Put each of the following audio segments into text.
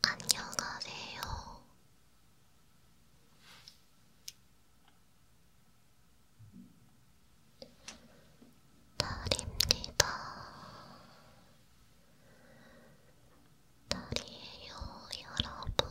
안녕하세요. 달입니다. 달이에요, 여러분.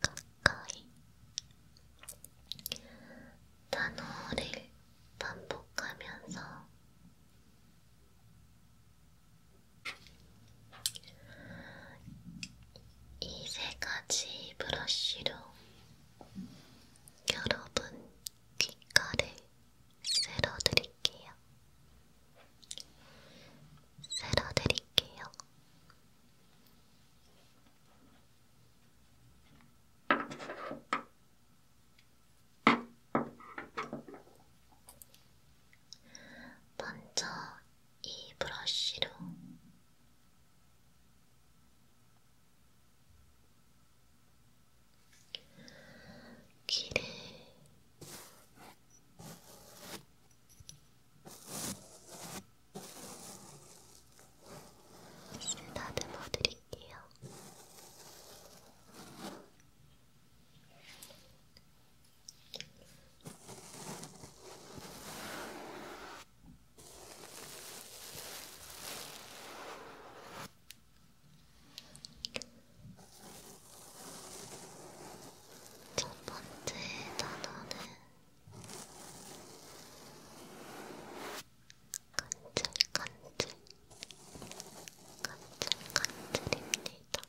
가까이 단어를 반복하면서 이 세 가지 브러쉬로 여러분 귓가를 쓸어드릴게요. 쓸어드릴게요. 먼저 이 브러쉬로 귀를 다듬어 드릴게요. 첫 번째 단어는 간질간질 간질간질입니다. 간질간질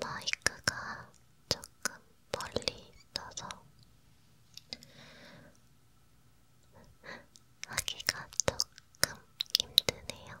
마이크가 조금 멀리 있어서 하기가 조금 힘드네요.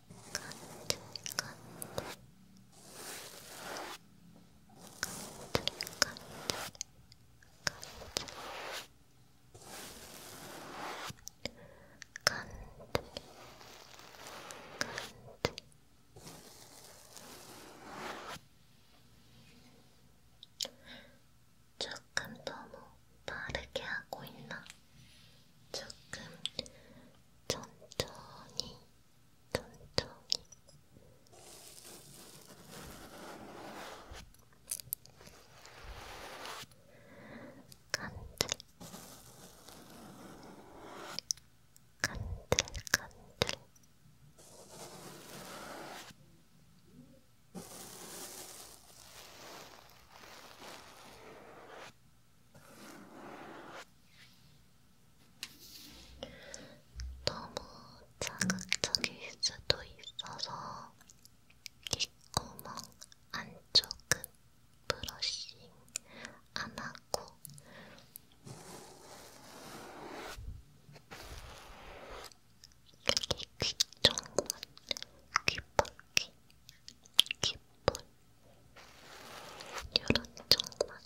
조금 너무 뭐 빠르게 하고 있나? 조금 천천히, 천천히. 간들, 간들, 간들. 간들 너무 자극적일 수도 있어서 귓구멍 안쪽은 브러싱 안 하고 여기 귀 쪽만 귀 밖에 귀 볼. 요런 쪽만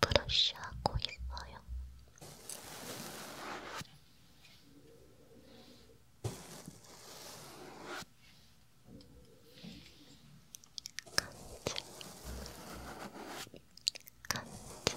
브러쉬하고 있어요. 간지, 간지,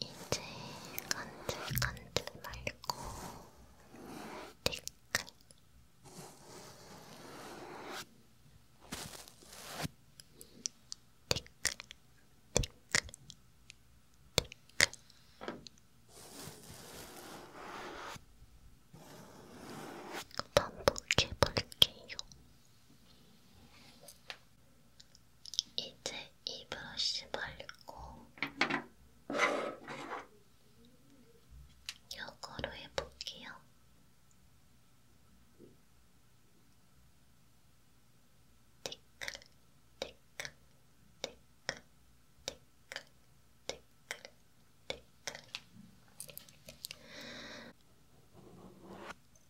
이제 간질간질 말고 뒤끝 뒤끝 뒤끝 뒤끝 반복해볼게요. 이제 이 브러쉬 발리고 이거로 해볼게요. 티클, 티클, 티클, 티클, 티클, 티클.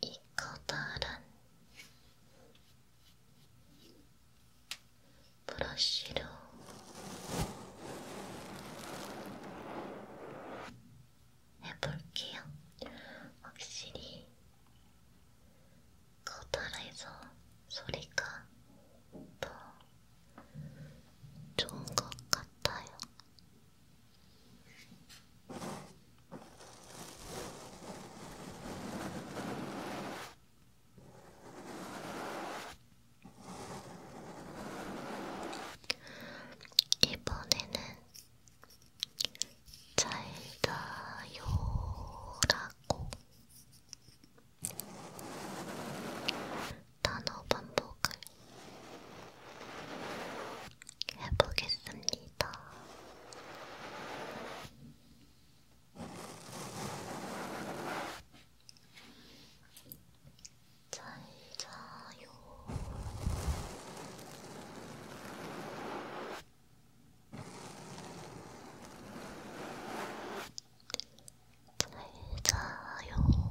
이 커다란 브러쉬로 해볼게요. 확실히 커다래서 소리가 더 좋은 것 같아요. 이번에는 잘 자요라고 단어 반복을 해보겠습니다. 잘 자요. 잘 자요.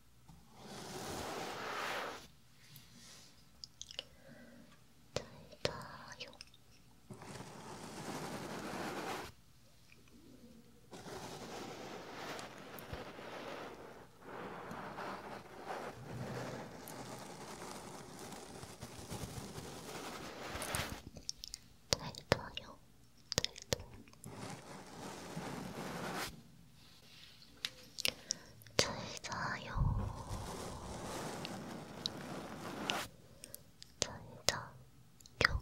잘 자요. 잘 자요. 잘 자요. 잘 자요. 잘자잘자잘자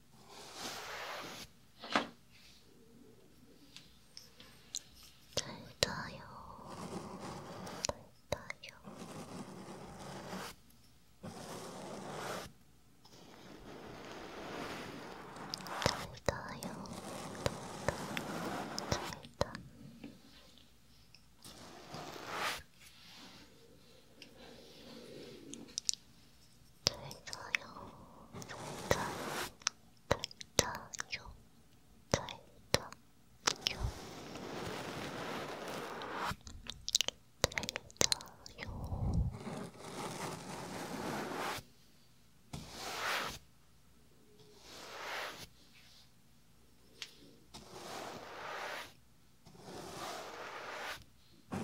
달다요, 달다요. 달다요, 달다, 달다. 잘자요 잘자요 잘자요 잘자요 잘자요 어,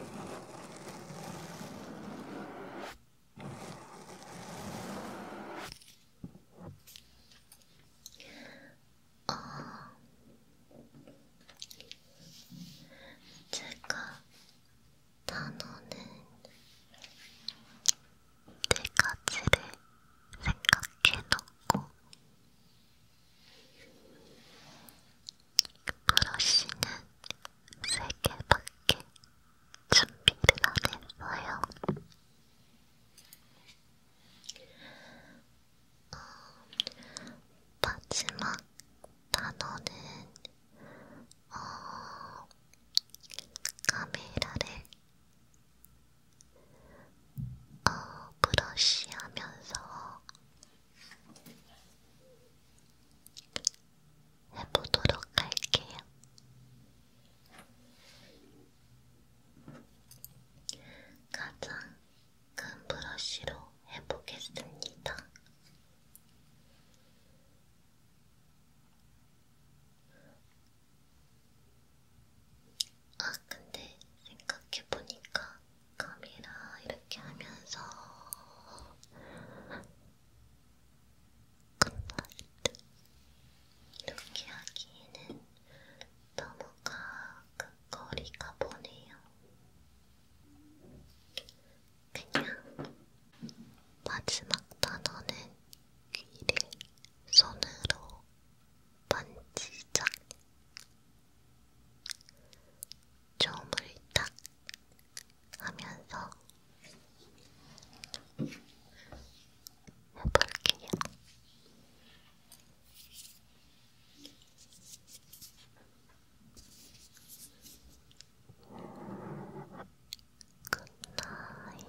제가 단어는 네 가지를 생각해놓고 브러쉬는 3개밖에 준비를 안 했어요. 어, 마지막 단어는 어, 카메라를 어, 브러쉬하면서 해보도록 할게요. 가장 큰 브러쉬로 해보겠습니다. 아, 근데 생각해보니까 카메라 이렇게 하면서 굿나잇 이렇게 하기에는 너무 가거리가 보네요. 그냥 마지막 단어는 귀를 손으로 만지작 춤을 딱 하면서 해볼게요. 뭐 굿나잇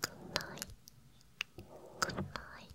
굿나잇 굿나잇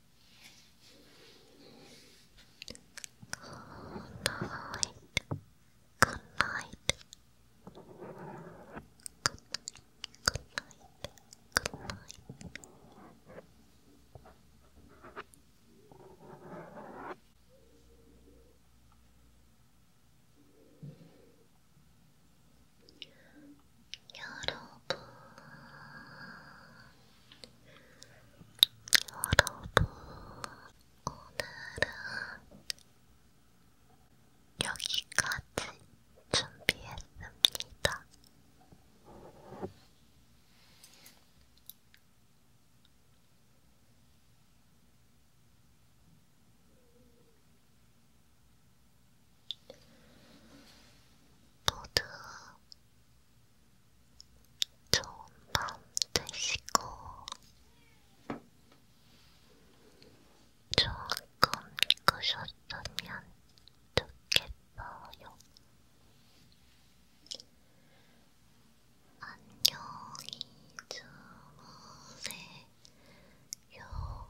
Good night. Good night. Good night. Good night. Good night. 여러분 여러분, 오늘은 여기까지 준비했습니다. 모두 좋은 밤 되시고 좋은 꿈 꾸셨으면 좋겠어요. 안녕히 주무세요.